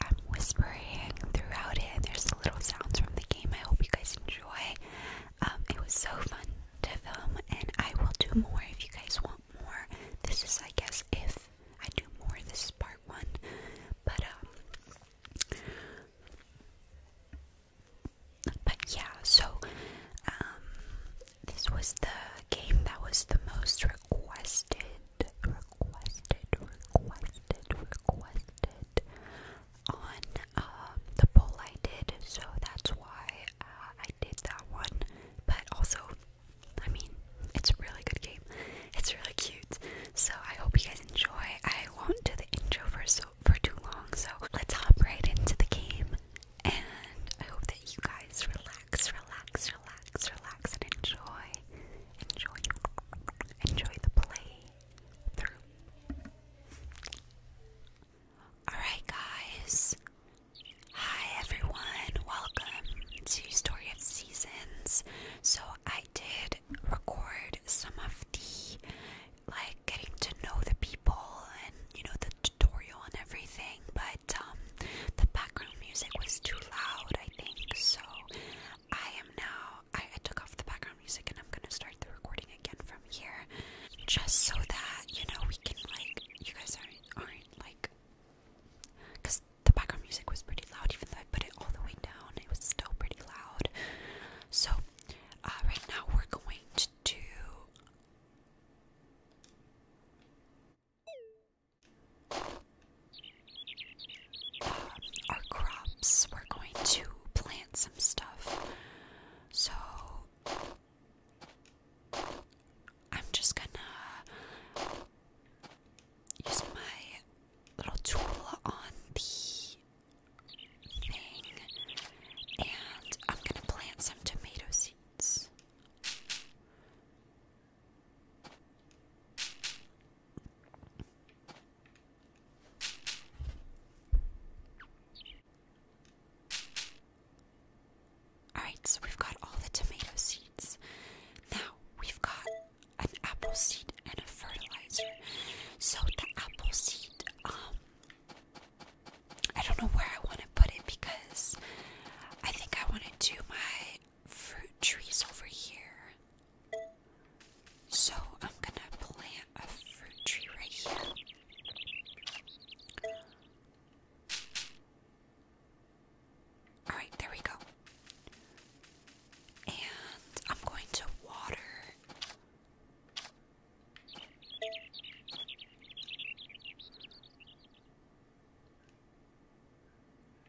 I'm whispering throughout it, and there's little sounds from the game. I hope you guys enjoy. Um, it was so fun to film, and I will do more if you guys want more. This is, I guess, if I do more, this is part one. But um, but yeah, so um, this was the game that was the most requested, requested, requested, requested on um, the poll I did, so that's why uh, I did that one. But also, I mean, it's a really good game. It's really cute. So I hope you guys enjoy. I won't do the intro for so for too long. So let's hop right into the game, and I hope that you guys relax, relax, relax, relax, and enjoy, enjoy, enjoy the play through. Alright, guys. Hi, everyone. Welcome to Story of Seasons. So, I did record some of the like getting to know the people and you know the tutorial and everything, but um, the background music was too loud, I think. So, I am now I, took off the background music and I'm gonna start the recording again from here, just so that you know we can like you guys aren't aren't like, cause the background music was pretty loud even though I put it all the way down. It was still pretty loud. So uh, right now we're going to do our crops. We're going to plant some stuff. So I'm just gonna use my little tool on the thing and I'm gonna plant some tomato seeds. Alright, so we've got all the tomato seeds. Now we've got an apple seed and a fertilizer. So the apple seed, um, I don't know where I want to put it because I think I want to do my fruit trees over here. So I'm gonna plant a fruit tree right here. Alright, there we go. And I'm going to water.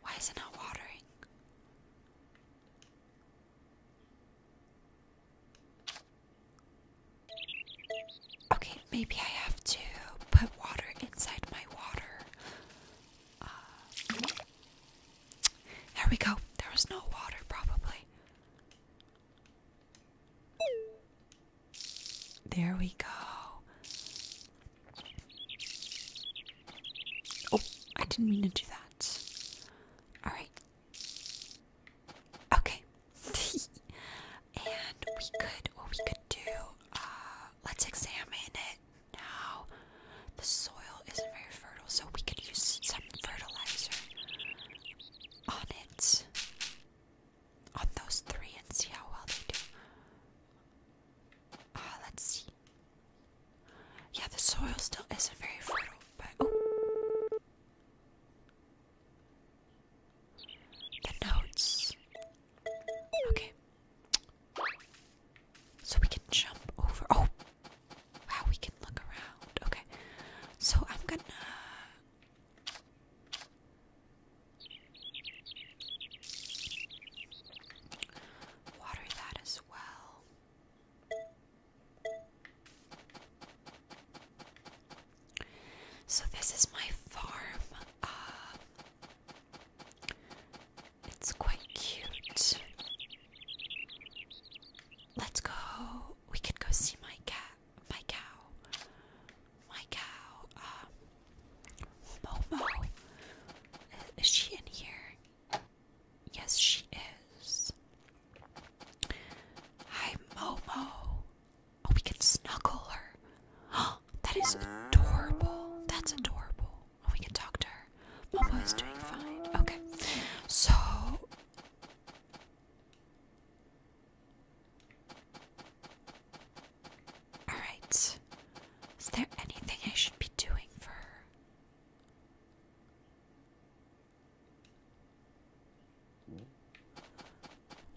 Why is it not watering? Okay, maybe I have to put water inside my water. Uh, there we go. There was no water, probably. There we go. Oh, I didn't mean to do that. Alright. Okay. and we could, we could do, uh, let's examine it now. The soil isn't very fertile, so we could use some fertilizer on it. On those three and see how well they do. Ah, let's see. Yeah, the soil still isn't very fertile, but oh. The notes. Okay. So we can jump over. Oh, wow, we can look around. Okay. So I'm gonna water that as well. So this is my farm. Uh, it's quite cute. Let's go. We could go see my cat, my cow, my cow. Uh, Momo, is she in here? Yes, she is. Hi, Momo. Oh, we can snuggle her. Oh, that is adorable. That's adorable. Oh, we can talk to her. Momo is doing fine. Okay, so. Alright. Is there anything I should be doing for her?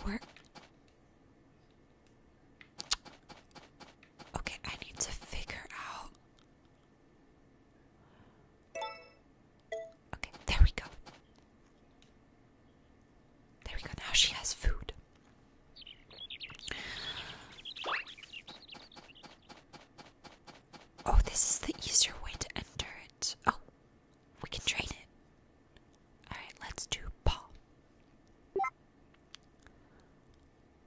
Where? Okay, I need to figure out. Okay, there we go. There we go. Now she has food. Oh, this is the easier way to enter it. Oh, we can train it. Alright, let's do paw.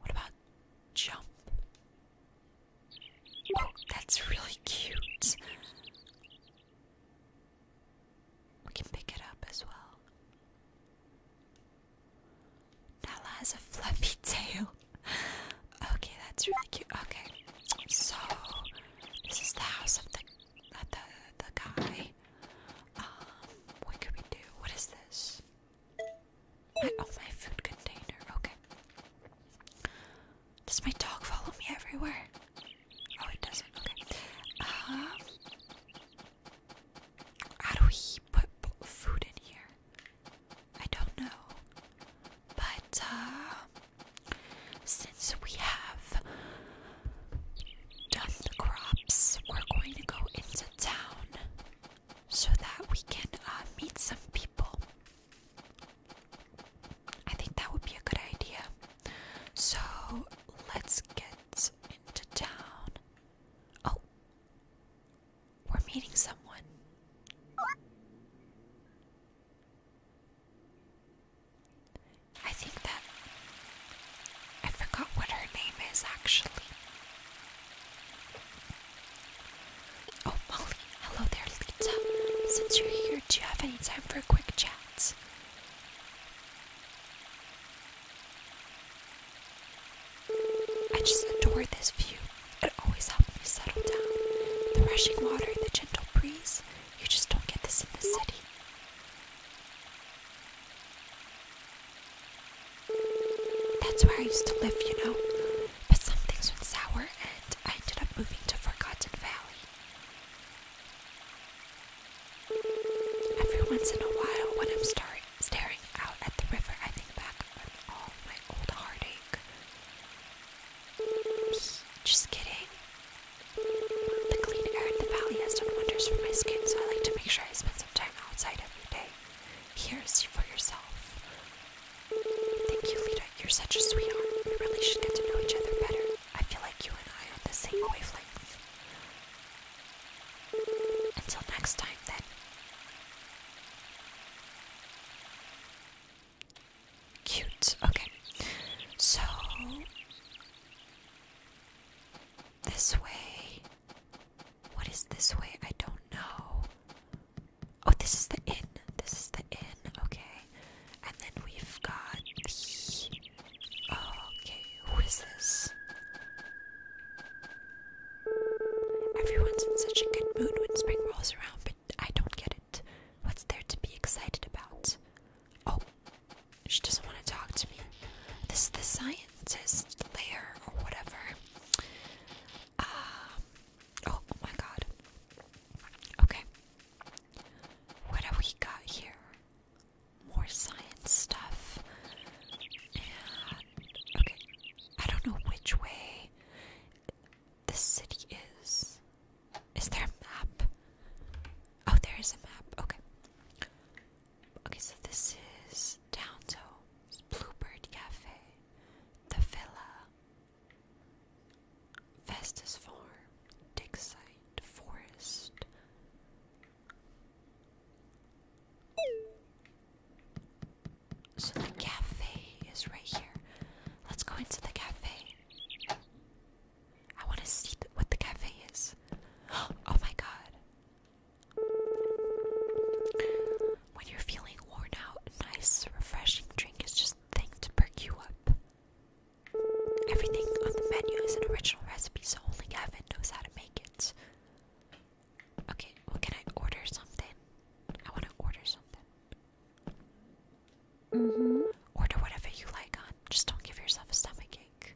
What about jump? Oh, that's really cute. We can pick it up as well. Nala has a fluffy tail. okay, that's really cute. Okay, so this is the house of the the the guy. Um, what could we do? What is this? oh, my food container. Okay. Does my dog follow me everywhere? Oh, it doesn't. Okay. Um, how do we put food in here? I don't know. But uh, since we have done the crops, we're going to go into town so that we can uh, meet some people. I think that would be a good idea. So let's get into town. Oh, we're meeting someone. I think that. I forgot what her name is actually. Oh, Molly. Hello there, Lita. Since you're here, do you have any time for a quick chat? I just adore this view. It always helps me settle down. The rushing water, the gentle breeze. You just don't get this in the city. That's where I used to live, you know. But some things went sour and I ended up moving to Forgotten Valley. Every once in a while, when I'm starting Staring out at the river, I think back on all my old heartache. Just kidding. The clean air in the valley has done wonders for my skin, so I like to make sure I spend some time outside every day. Here, see for yourself. Thank you, Lita. You're such a sweetheart. We really should get to know each other better. I feel like you and I are the same wavelength. Until next time, then. Cute. Okay. So. This way. What is this way? I don't know. Oh, this is the inn. This is the inn. Okay. And then we've got the Okay, who is this? Everyone's in such a good mood when spring rolls around, but I don't get it. What's there to be excited about? Oh, she doesn't want to talk to me. This is the scientist layer or whatever. Um, oh my god. Okay. What have we got here? more science stuff. okay, I don't know which way the city is. Is there a map? Oh, there is a map. Okay. Okay, so this is Downtown Bluebird Cafe, the Villa, Festus Farm, Dig Site, Forest, so the cafe is right here. Let's go into the cafe. I want to see what the cafe is. Oh my god. When you're feeling worn out, a nice, refreshing drink is just thing to perk you up. Everything on the menu is an original recipe, so only Gavin knows how to make it. Okay, can I order something? I want to order something. Mm -hmm. Order whatever you like on. Just don't give yourself a stomachache.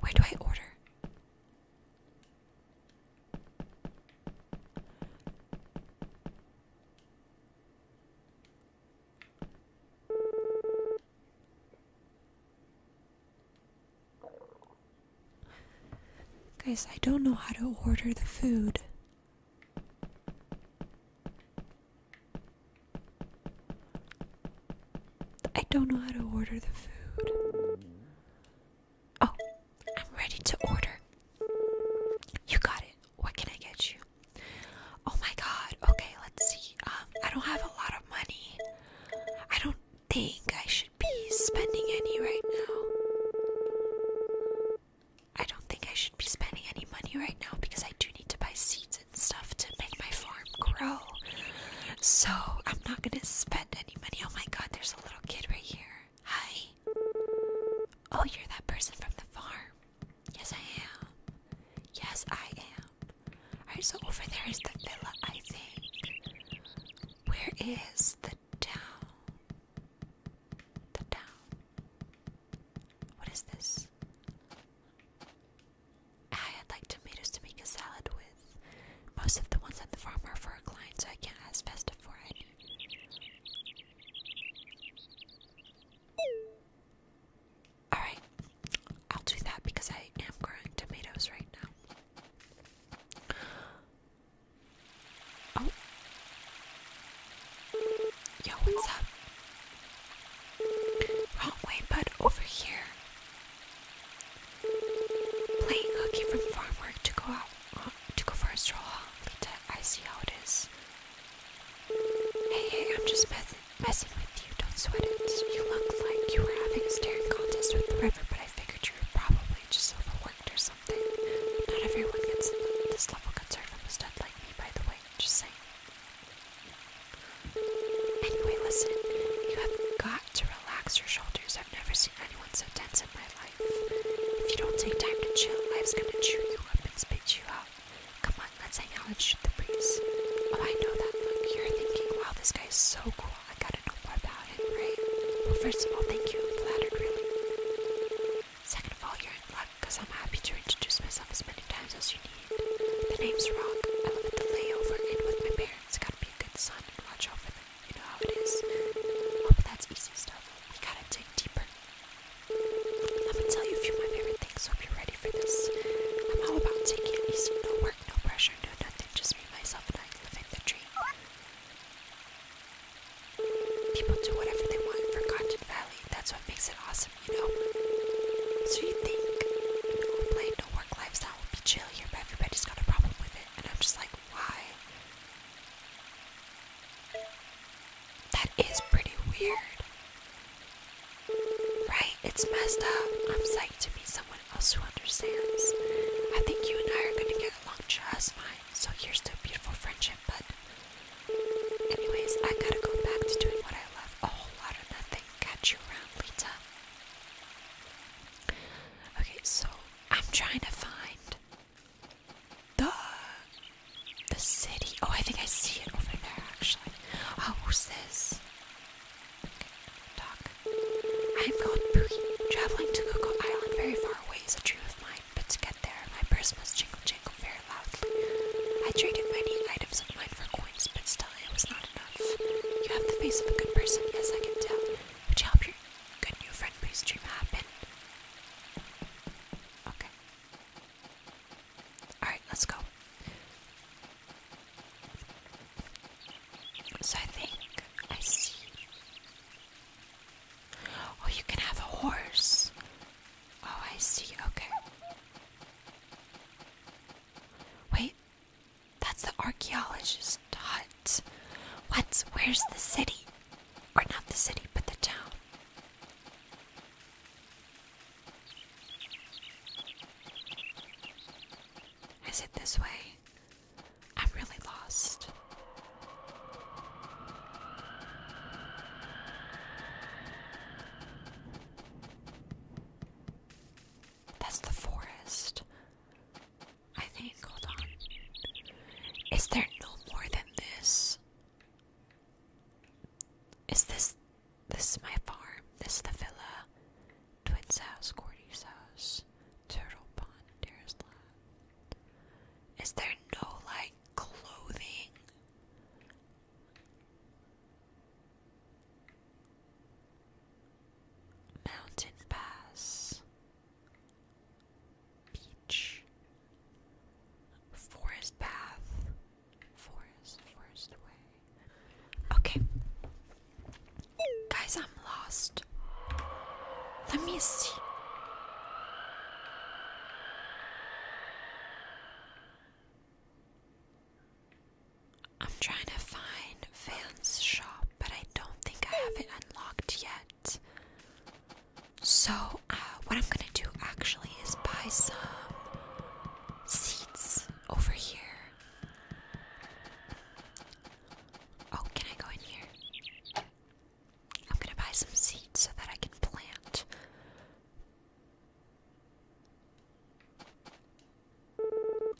Where do I order? Guys, I don't know how to order the food. I don't know how to order the food. Oh, I'm ready to order. You got it. What can I get you? Oh my god. Okay, let's see. Um, I don't have a lot of money. I don't think I should be spending any right now. I don't think I should be spending any money right now because I do need to buy seeds and stuff to make my farm grow. So I'm not gonna spend any money. Oh my god, there's a little kid right here. Hi. Oh, you're that person from the farm. Yes, I am. Yes, I am. Alright, so over there is the villa, I think. Where is the town? The town. What is this? I'd like tomatoes to make a salad with. Most of the ones at the farm are for a client, so I can't ask festive for it. Alright, I'll do that because I am growing tomatoes right now. Oh. Yo, what's up? Wrong way, bud, over here. Playing hooky from farm work to go out, uh, to go for a stroll, Lita, I see how it is. Hey, hey, I'm just messing with you. Don't sweat it. You look like you were having a staring contest with the river, but I figured you were probably just overworked or something. Not everyone gets this level of concern from a stud like me, by the way. Just saying. Anyway, listen. You have got to relax your shoulders. I've never seen anyone so tense in my life. If you don't take time to chill, life's gonna chew you up and spit you out. Come on, let's hang out and shoot the breeze. Oh, I know that look. You're thinking, wow, this guy's so cool. I gotta know more about him, right? Well, first of all, thank you. I'm flattered, really. Second of all, you're in luck, because I'm happy to introduce myself as many times as you need. The name's Rock. I live to lay over inn with my parents. Gotta be a good son and watch over them. You know how it is. Oh, but that's easy stuff. We gotta dig deeper. I'm gonna tell you a few of my favorite things, hope you're ready for this. I'm all about taking it easy, no work, no pressure, no nothing, just me, myself, and I living the dream. People do whatever they want in Forgotten Valley, that's what makes it awesome, you know? So you think an old play, no work lifestyle will be chill here, but everybody's got a problem with it, and I'm just like, why? That is pretty weird. Right, it's messed up. I'm psyched to meet someone else who understands. I think you and I are gonna get along just fine, so here's to a beautiful friendship, but. Anyways, I gotta go back to doing what I love a whole lot of nothing. Catch you around, Lita. Okay, so I'm trying to find the the city. Oh, I think I see it over there actually. Oh, who's this? Doc. I am called Boogie. Traveling to Cocoa Island very far away is a dream of mine, but to get there, my purse must jingle jingle very loudly. I traded many items of mine for coins, but still it was not enough. You have the face of a good person, yes, I can tell. Would you help your good new friend please dream happen? Okay. Alright, let's go. So I think I see. Oh, you can have a horse. Oh, I see. Okay. Wait, that's the archaeologist's hut. What? Where's the city? Or not the city, but the town. Is it this way? I'm really lost. That's the forest. I think, hold on. Is there no more than this? Is this this my farm? This is the villa, twins house, Cordy's house, turtle pond, terrace lot. Is there no like clothing? Mountain pass beach, forest path, forest, forest way. Okay, guys, I'm lost. Let me see. I'm trying to find Van's shop, but I don't think I have it unlocked yet. So, uh, what I'm gonna do actually is buy some seats over here. Oh, can I go in here? I'm gonna buy some seeds so that I can plant.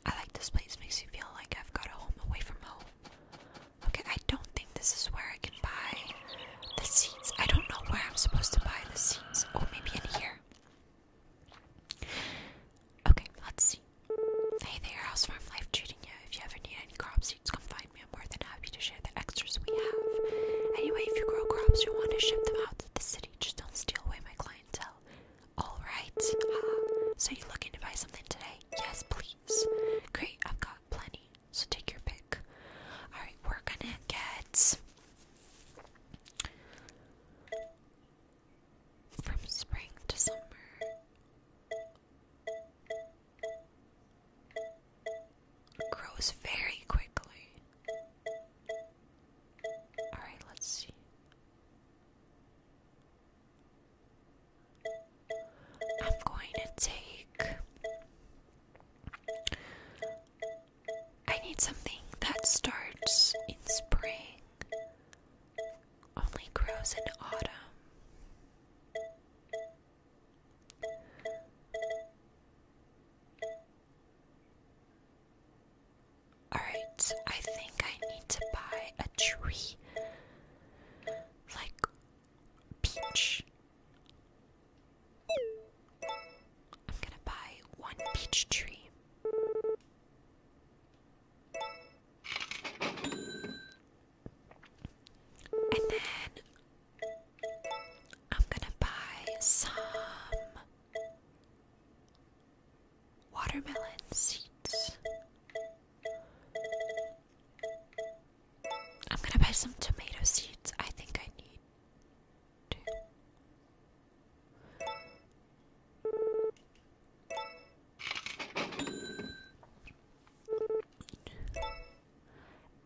I like this place, makes me feel like I've got a home away from home. Okay, I don't think this is where I can buy the seeds. I don't know where I'm supposed to buy the seeds. Oh, maybe in here. Okay, let's see. Hey there, House Farm Life treating you. If you ever need any crop seeds, come find me. I'm more than happy to share the extras we have. Anyway, if you grow crops, you want to ship them out to the city. Just don't steal away my clientele. All right. Ah, so you looking to buy something today? Yes, please. Great, I've got plenty. So take your pick. Alright, we're gonna get from spring to summer. Grows very quickly. Alright, let's see. I'm going to take. I need something that starts in spring, only grows in autumn. Alright, I think I need to buy a tree. Like peach. I'm gonna buy one peach tree. And then I'm gonna buy some watermelon seeds. I'm gonna buy some tomato seeds. I think I need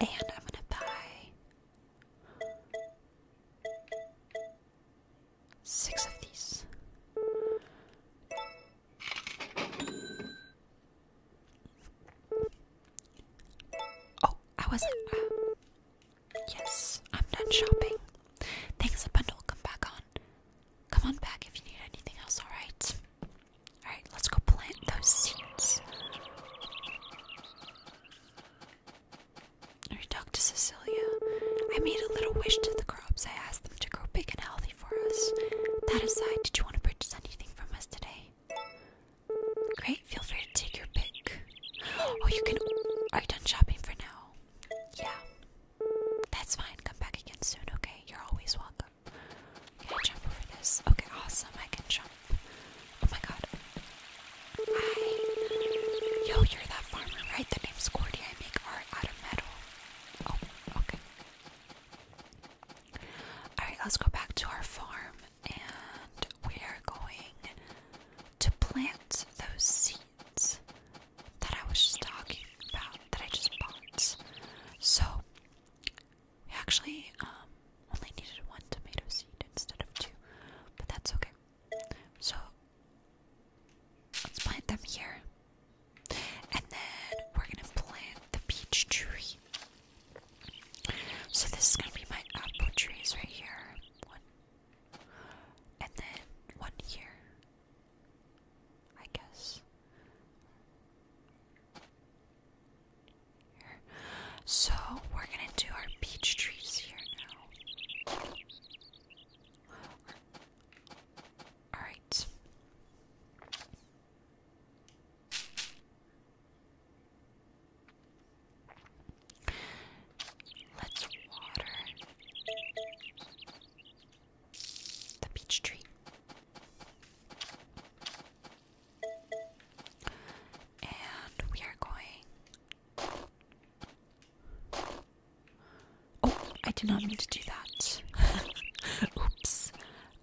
And I'm gonna buy six of these. Oh, I was uh, yes, I'm done shopping. Thanks a bundle. Come back on. Come on back if you need anything else, alright? Alright, let's go plant those seeds. I talked to Cecilia. I made a little wish to the crops. I asked them to grow big and healthy for us. That aside, did you want to purchase anything from us today? Great, feel free to take your pick. Oh, you can. Are you done shopping for now? Yeah. That's fine. Come back again soon, okay? You're always welcome. Can I jump over this? Okay, awesome. I can jump. Oh my god. Yo, you're that farmer, right? The name's Cordy. I make art out of metal. Oh, okay. Alright, let's go back to our farm and we are going to plant those seeds that I was just talking about, that I just bought. So, we actually um, only needed one tomato seed instead of two, but that's okay. So, let's plant them here. And then we're gonna plant the peach tree. So this is gonna be my apple trees right here. One and then one here. I guess. So we're gonna do our peach trees here now. Alright. Let's water the peach tree. And we are going Oh, I did not mean to do that. Oops.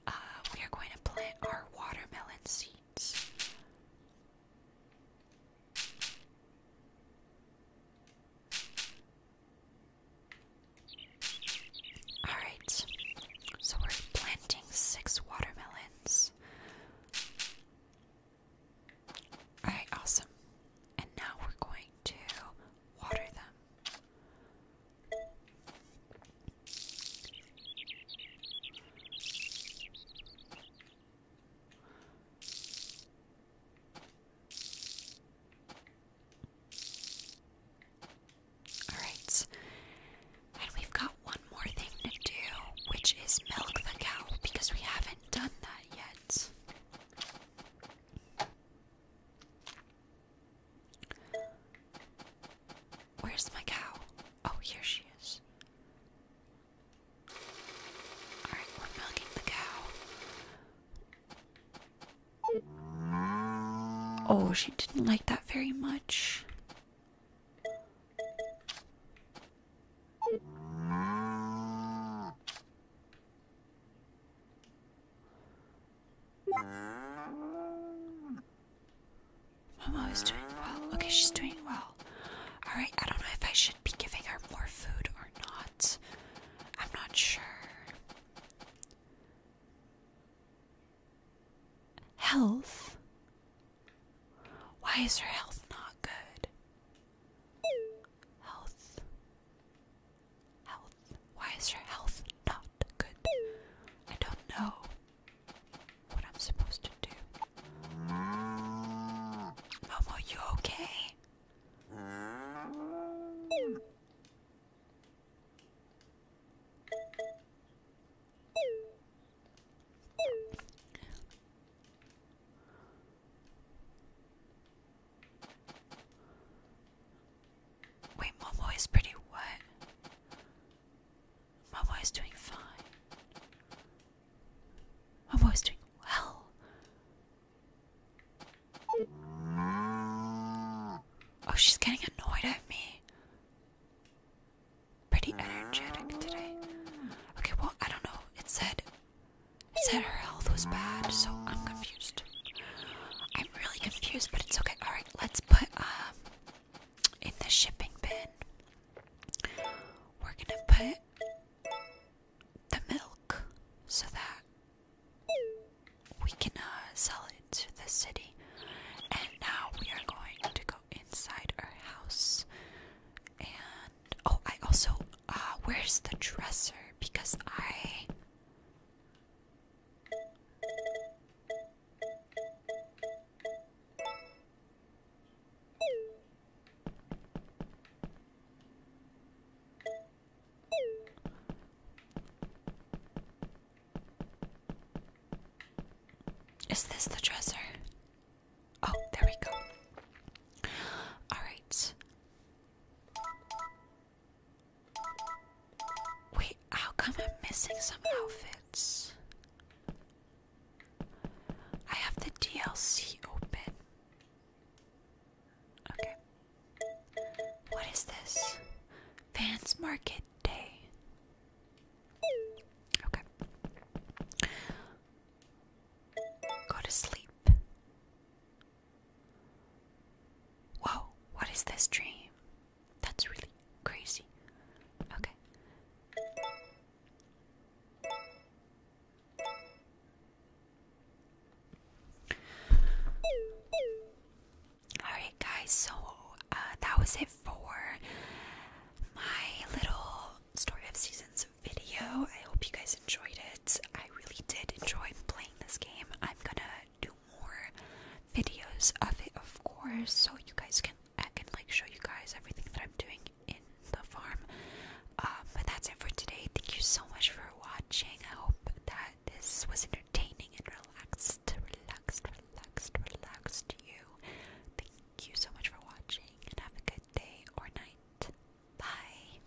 Uh, we are going to plant our watermelon seeds. Alright, so we're planting six watermelons. Alright, awesome. And now we're going to water them. All right. And we've got one more thing to do, which is milk the cow because we haven't done that yet. Where's my cow? Oh, here she is. Alright, we're milking the cow. Oh, she didn't like that very much. Momo is doing well. Okay, she's doing well. Alright, I don't know if I should be giving her more food or not. I'm not sure. Health? Why is her health not good? Health. Health. Why is your health not good? I don't know what I'm supposed to do. Momo, you okay? Wait, Momo is pretty what? Momo is doing fine. Momo is doing well. Oh, she's getting annoyed at me. Pretty energetic today. Okay, well, I don't know. It said said her health was bad, so I'm confused. I'm really confused, but it's okay. Alright, let's put um in the shipping bin. We're gonna put the milk so that we can uh, sell it to the city. And now we are going to go inside our house. And oh, I also uh, where's the dresser? Because I is this the dresser? Oh, there we go. All right. Wait, how come I'm missing some outfits? I have the DLC open. Okay. What is this? Fans Market Day. Okay. Go to sleep. Whoa, what is this dream? That's really crazy. Okay. Alright, guys, so uh, that was it for my little Story of Seasons video. I hope you guys enjoyed it. I really did enjoy playing this game. I'm gonna do more videos of it, of course, so you guys can I can like show you guys everything that I'm doing in the farm. Um, but that's it for today. Thank you so much for watching. I hope that this was entertaining and relaxed, relaxed, relaxed, relaxed you. Thank you so much for watching and have a good day or night. Bye.